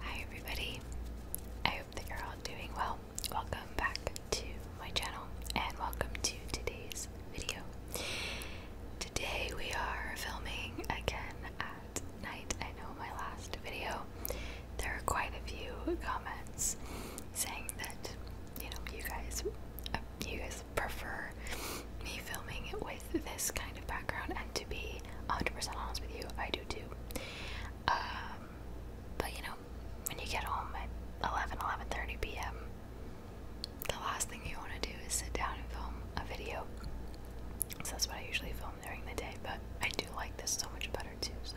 Hi everybody, I hope that you're all doing well. Welcome back to my channel and welcome to today's video. Today we are filming again at night. I know my last video, there are quite a few comments saying that, you know, you guys, uh, you guys prefer me filming with this kind of background and to be 100% honest with you, I do too. Um, but you know, when you get home at 11, p.m., the last thing you want to do is sit down and film a video. So that's what I usually film during the day, but I do like this so much better too, so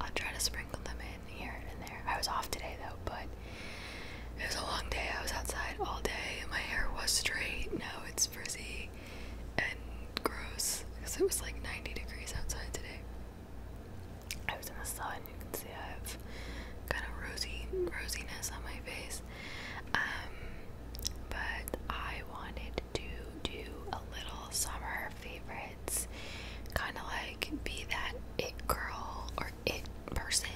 I'll try to sprinkle them in here and there. I was off today though, but it was a long day. I was outside all day. My hair was straight. No, it's frizzy and gross because it was like 90 degrees outside today. I was in the sun. You can see I have kind of rosy rosiness on my face. Um, but I wanted to do a little summer favorites, kind of like be that it girl or it person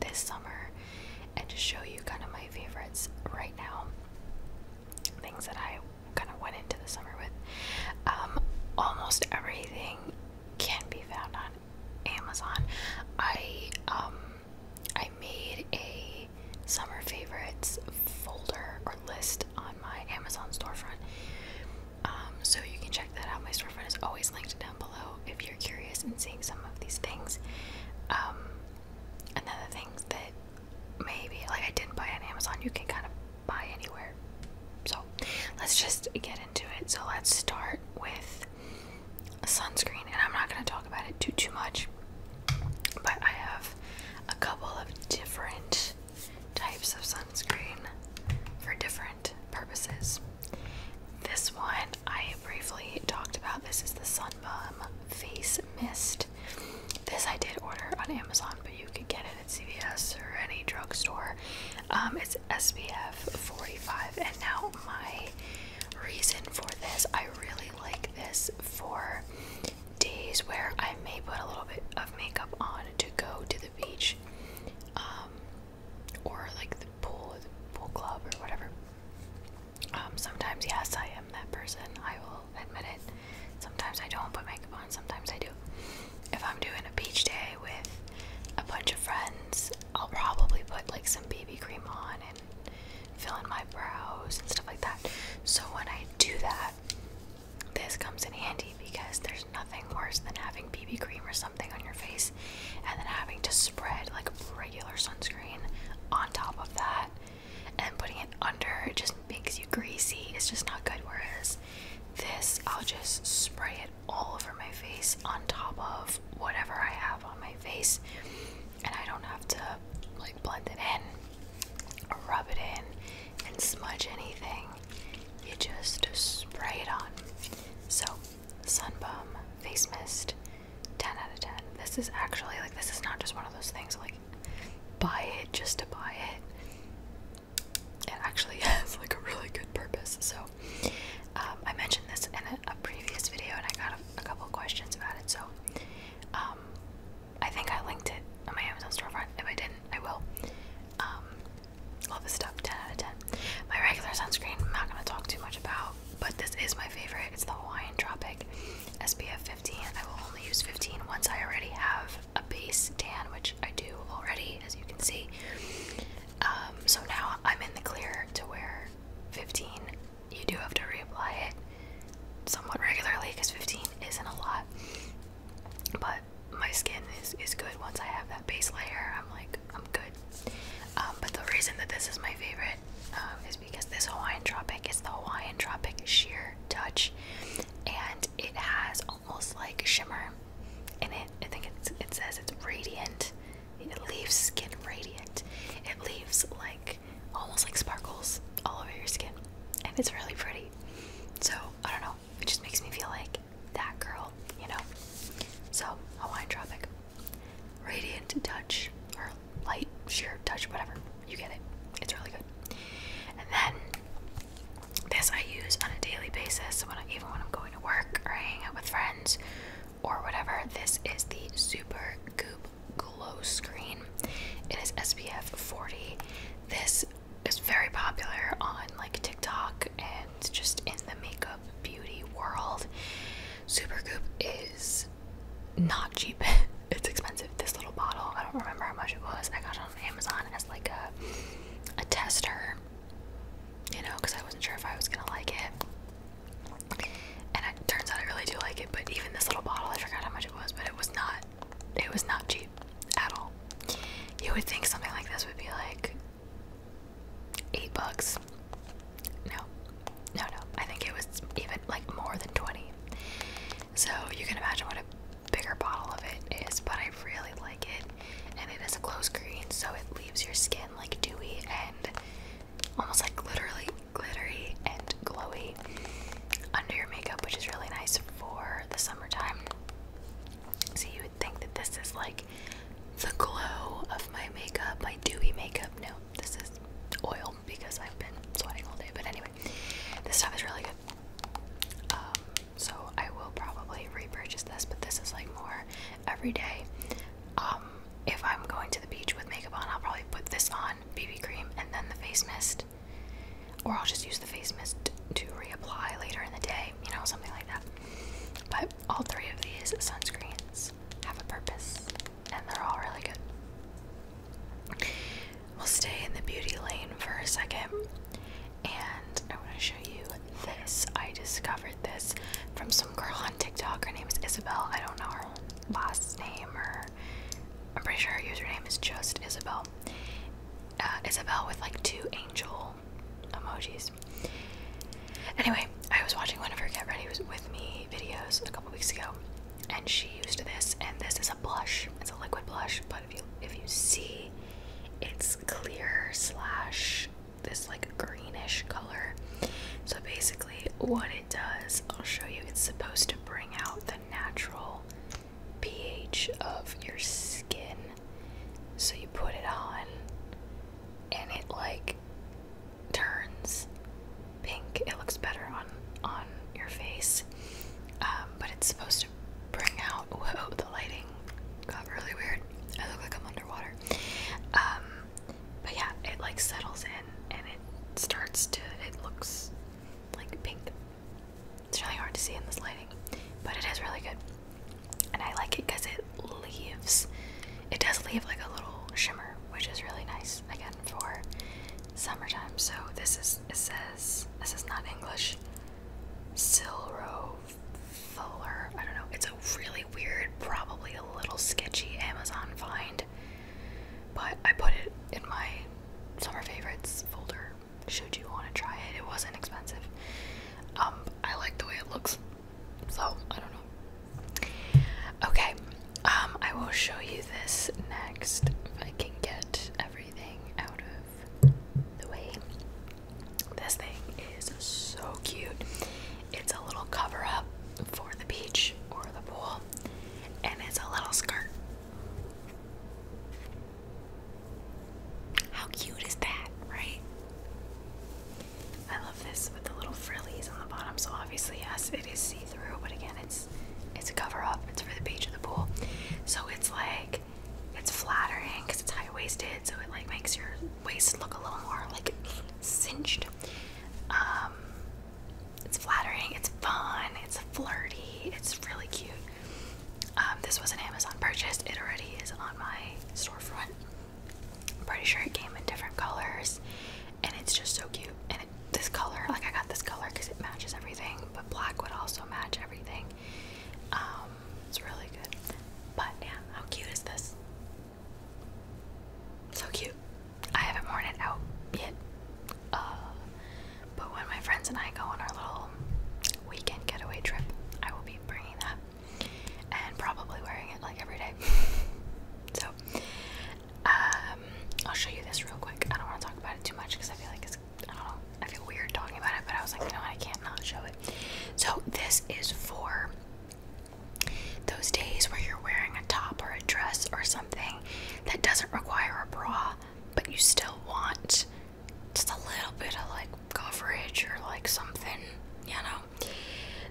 this summer, and just show you kind of my favorites right now things that I kind of went into the summer with. Um, almost everything can be found on Amazon. I um, I made a summer favorites folder or list on my Amazon storefront. Um, so you can check that out. My storefront is always linked down below if you're curious in seeing some of these things. Um, and then things that maybe like I didn't buy on Amazon. You can kind of buy anywhere. So let's just get into it. So let's start with sunscreen, and I'm not going to talk about it too too much. But I have a couple of different types of sunscreen for different purposes. This one I briefly talked about. This is the Sunbum Face Mist. This I did order on Amazon, but you could get it at CVS or any drugstore. Um, it's SPF 45, and now my reason for this, I really like this for days where I may put a little bit of makeup on to go to the beach, um, or like the pool, the pool club, or whatever. Um, sometimes, yes, I am that person. I will admit it. Sometimes I don't put makeup on, sometimes I do. If I'm doing a beach day with a bunch of friends, I'll probably put like some BB cream on and fill in my brows and stuff like that. So when I do that, this comes in handy because there's nothing worse than having BB cream or something on your face and then having to spread like regular sunscreen on top of that and putting it under it just makes you greasy. It's just not good. Whereas this, I'll just spray it all over my face on top of whatever I have on my face, and I don't have to like blend it in, rub it in, and smudge anything. You just spray it on. So, Sunbum Face Mist 10 out of 10. This is actually like, this is not just one of those things like buy it just to buy it. It actually has like a really good purpose. So, um, I mentioned this in a, previous video and I got a, couple questions about it. So, um, I think I linked it on my Amazon storefront. If I didn't, I will. Um, love this stuff. 10 out of 10. My regular sunscreen, I'm not going to talk too much about, but this is my favorite. It's the Hawaiian Tropic. SPF 15. I will only use 15 once I already have a base tan, which I do already, as you can see. Um, so now I'm in the clear to wear 15. You do have to reapply it somewhat regularly because 15 isn't a lot. But my skin is, is good once I have that base layer. I'm like, I'm good. Um, but the reason that this is my favorite um, because this Hawaiian Tropic is the Hawaiian Tropic sheer touch and it has almost like shimmer in it. I think it says it's radiant. It leaves skin radiant. It leaves like almost like sparkles all over your skin and it's really pretty. So I don't know. It just makes me feel like that girl, you know? So Hawaiian Tropic. Radiant Touch or Light Sheer Touch, whatever. You get it. It's really good. And then this I use on a daily basis, even when I'm going to work or hanging out with friends or whatever. This is the Super Goop Glow Screen. It is SPF 40. This is very popular on like TikTok and just in the makeup beauty world. Super Goop is not cheap. it's expensive. This little bottle, I don't remember how much it was. I got it on Amazon as like a a tester, you know, because I wasn't sure if I was gonna like it. And it turns out I really do like it. But even this little bottle, I forgot how much it was, but it was not. It was not cheap at all. You would think something like this would be like eight bucks, no, no, no. I think it was even like more than 20. So you can imagine what a bigger bottle of it is, but I really like it. And it is a closed green, so it leaves your skin like dewy and almost like literally glittery and glowy under your makeup, which is really nice for the summertime. So you would think that this is like the glow of my makeup, my dewy makeup. No, this is oil because I've been sweating all day. But anyway, this stuff is really good. Um, so I will probably repurchase this, but this is like more every day. Um, if I'm going to the beach with makeup on, I'll probably put this on, BB cream, and then the face mist. Or I'll just use the face mist to reapply later in the day, you know, something like that. But all three of these sunscreens have a purpose and they're all really good. We'll stay in the beauty lane for a second, and I want to show you this. I discovered this from some girl on TikTok. Her name is Isabel. I don't know her last name, or I'm pretty sure her username is just Isabel. Uh, Isabel with like two angel emojis. Anyway, I was watching one of her Get Ready With Me videos a couple weeks ago, and she used this, and this is a blush. It's a liquid blush, but if you if you see, it's clear slash this like greenish color. So basically, what it does, I'll show you. It's supposed to bring out the natural pH of your skin. So you put it on, and it like turns pink. It looks better on on your face, um, but it's supposed to bring out. Whoa, the lighting got really weird. I look like I'm underwater. Um, but yeah, it like settles in and it starts to. It looks like pink. It's really hard to see in this lighting, but it is really good, and I like it because it leaves. It does leave like a little shimmer, which is really nice again for summertime. So this is it says this is not English. Silro Fuller. I don't know. It's a really weird, probably a little sketchy Amazon find. But I put it in my summer favorites folder. Should you want to try it? It wasn't expensive. Um, I like the way it looks. So I don't know. Okay, um, I will show you this next if I can get everything out of the way. This thing is so cute. It's a little cover up for the beach or the pool, and it's a little skirt. How cute is that, right? I love this with the little frillies on the bottom. So obviously, yes, it is see-through, but again, it's it's a cover-up. It's for the beach or the pool. So it's like it's flattering because it's high-waisted, so it like makes your waist look a little more like cinched. Um, it's flattering. It's fun. It's flirty. It's really cute. Um, this was an Amazon purchase. It already is on my storefront. I'm pretty sure it came in different colors, and it's just so cute. And this color, like I got this color because it matches everything, but black would also match everything. Um, it's really good. But yeah, how cute is this? So cute. I haven't worn it out yet. Uh, but when my friends and I go on our little weekend getaway trip, I will be bringing that and probably wearing it like every day. so, um, I'll show you this real quick. I don't want to talk about it too much because I feel like it's, I don't know, I feel weird talking about it, but I was like, you know what, I can't not show it. So, this is for those days where you're wearing a top or a dress or something that doesn't require a bra, but you still want just a little bit of like coverage or like something, you know?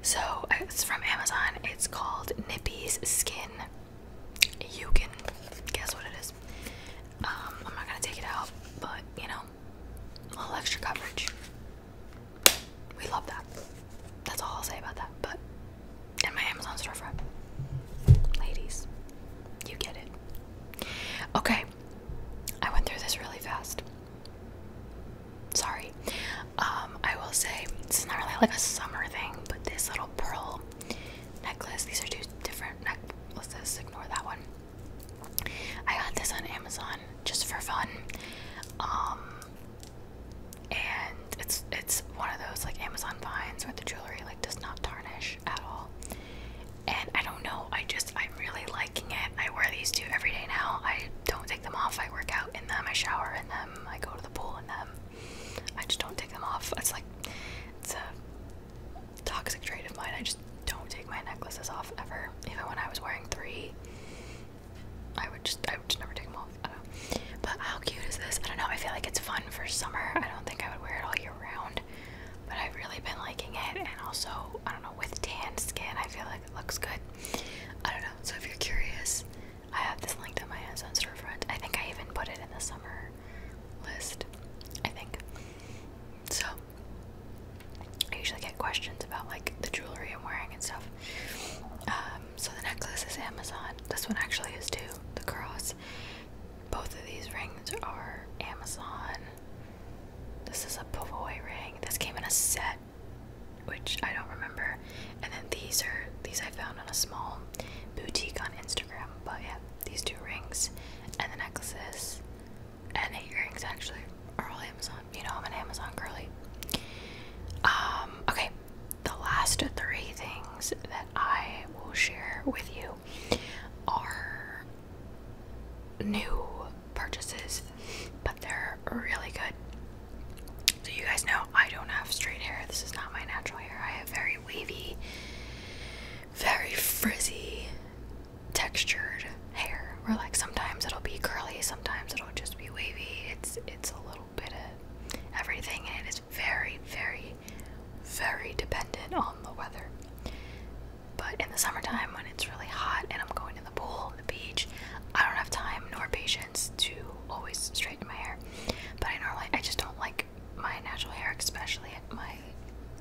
So it's from Amazon. It's called Nippy's Skin. You can guess what it is. Um, I'm not gonna take it out, but you know, a little extra coverage. We love that. That's all I'll say about that. But in my Amazon storefront, ladies, you get it. Okay, I went through this really fast. Sorry. Um, I will say it's not really like a summer thing, but this little pearl necklace. These are two different necklaces. Ignore that one. I got this on Amazon just for fun. Um, and it's it's one of those like Amazon finds where the jewelry like does not tarnish at all. And I don't know. I just I'm really liking it. I wear these two every day now. I don't take them off. I work out in them. I shower in them. I go to the pool in them. I just don't take them off. It's like it's a toxic trait of mine. I just don't take my necklaces off ever. Even when I was wearing three, I would just I would just never take them off. But how cute is this? I don't know. I feel like it's fun for summer. I don't think I would wear it all year round, but I've really been liking it. And also, I don't know, with tan skin, I feel like it looks good. I don't know. So if you're curious, I have this linked to my Amazon storefront. I think I even put it in the summer list. I think. So I usually get questions about like the jewelry I'm wearing and stuff. Um, so the necklace is Amazon. This one actually is too. The cross. Both of these rings are Amazon. This is a Pavoy ring. This came in a set which I don't remember. And then these are these I found on a small boutique on Instagram. But yeah, these two rings and the necklaces and the earrings actually are all Amazon. You know I'm an Amazon girly. Um, okay, the last three things that I will share with you are new purchases, but they're really good. So, you guys know I don't have straight hair. This is not my natural hair. I have very wavy, very frizzy, textured hair. Where, like, sometimes it'll be curly, sometimes it'll just be wavy. It's, it's a little bit of everything, and it is very, very, very dependent on the weather. But in the summertime, when it's really hot and I'm going to the pool, the beach. I don't have time nor patience to always straighten my hair. But I normally I just don't like my natural hair, especially at my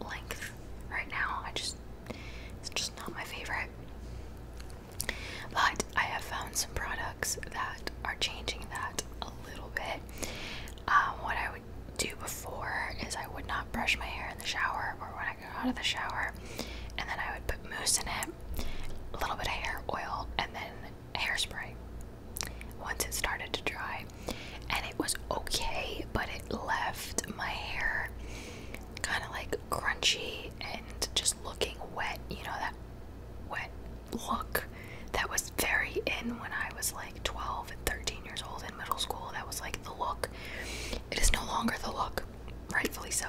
length right now. I just it's just not my favorite. But I have found some products that are changing that a little bit. Um, what I would do before is I would not brush my hair in the shower or when I out of the shower, and then I would put mousse in it, a little bit of hair oil, and then hairspray. Once it started to dry, and it was okay, but it left my hair kind of like crunchy and just looking wet. You know that wet look that was very in when I was like 12 and 13 years old in middle school. That was like the look. It is no longer the look rightfully so.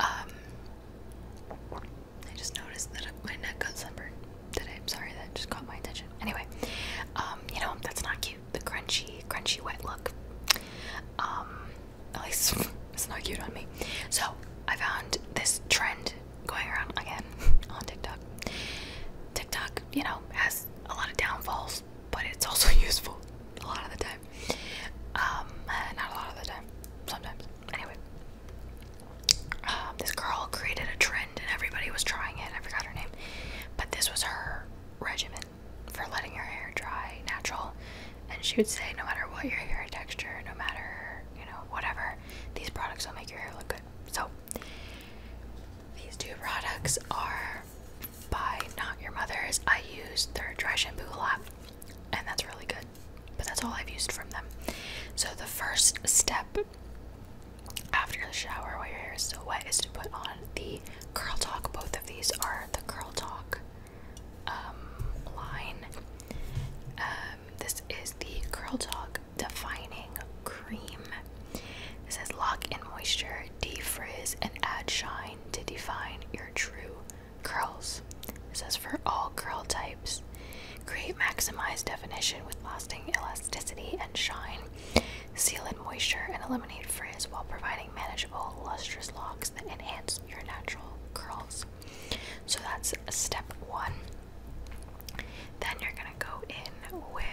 Um, I just noticed that my neck got sunburned today. I'm sorry, that just caught my attention. Anyway, um, you know, that's not cute. The crunchy, crunchy wet look. Um, at least it's not cute on me. So I found this trend going around again on TikTok. TikTok, you know, has a lot of downfalls but it's also useful a lot of the time. Um, not a lot of the time, sometimes. Anyway, um, this girl created a trend and everybody was trying it. I forgot her name, but this was her regimen for letting her hair dry natural. And she would say, no matter what your hair texture, no matter you know whatever, these products will make your hair look good. So. These two products are by Not Your Mother's. I use their Dry Shampoo a lot, and that's really good. But that's all I've used from them. So the first step after the shower while your hair is still wet is to put on the Curl Talk. Both of these are the Curl Talk um, line. Um, this is the Curl Talk Defining Cream. It says lock in moisture, defrizz, and add shine to define your true curls. It says for all curl types, create maximized definition with lasting elasticity and shine. Seal in moisture and eliminate frizz while providing manageable, lustrous locks that enhance your natural curls. So that's step one. Then you're gonna go in with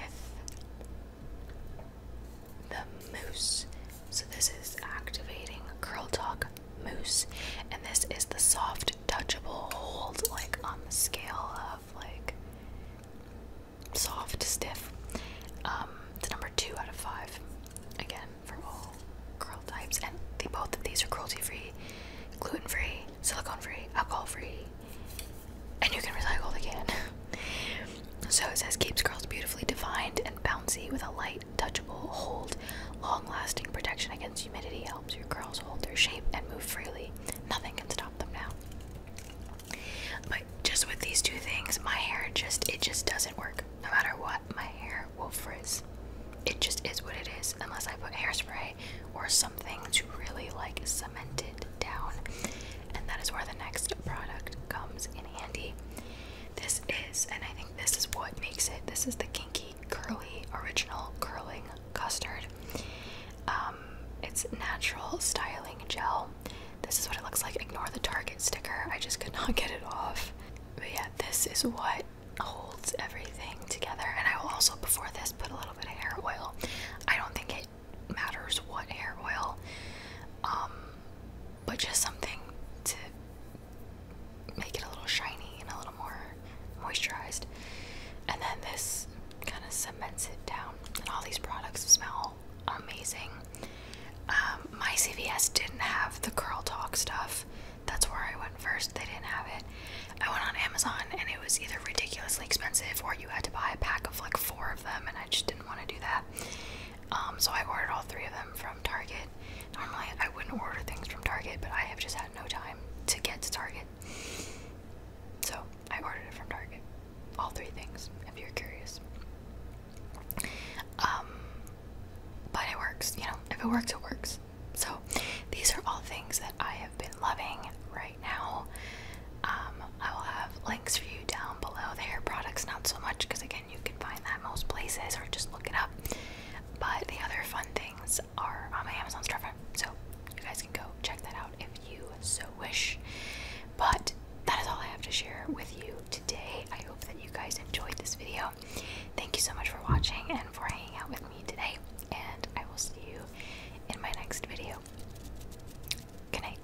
the mousse. So this is activating Curl Talk Mousse, and this is the soft, touchable hold, like on the scale of like soft, stiff. it's um, number two out of five, again for all curl types, and both of these are cruelty-free, gluten-free, silicone-free, alcohol-free, and you can recycle again. So it says keeps curls beautifully defined and bouncy with a light, touchable hold. Long lasting protection against humidity helps your curls hold their shape and move freely. Nothing can stop them now. But just with these two things, my hair just it just doesn't work. No matter what, my hair will frizz. It just is what it is, unless I put hairspray or something to really like cement it down. And that is where the next product comes in handy. This is, and I think this is what makes it. This is the Kinky Curly Original Curling Custard. Um, it's natural styling gel. This is what it looks like. Ignore the Target sticker. I just could not get it off. But yeah, this is what holds everything together. And I will also, before this, put a little bit of hair oil. I don't think it matters what hair oil. Um, but just something to make it a little shiny and a little more moisturized. And then this kind of cements it down. And all these products smell amazing. Um, my CVS didn't have the Curl Talk stuff. That's where I went first. They didn't have it. I went on Amazon and it was either ridiculously expensive or you had to buy a pack of like four of them, and I just didn't want to do that. Um, so I ordered all three of them from Target. Normally I wouldn't order things from Target, but I have just had no time to get to Target. So I ordered it from Target. All three things, if you're curious. Um, but it works, you know, if it works, it works. So these are all things that I have been loving right now. Um, I will have links for you down below. The hair products, not so much because I can't you can find that most places or just look it up. But the other fun things are on my Amazon storefront, so you guys can go check that out if you so wish. But that is all I have to share with you today. I hope that you guys enjoyed this video. Thank you so much for watching and for hanging out with me today, and I will see you in my next video. Good night.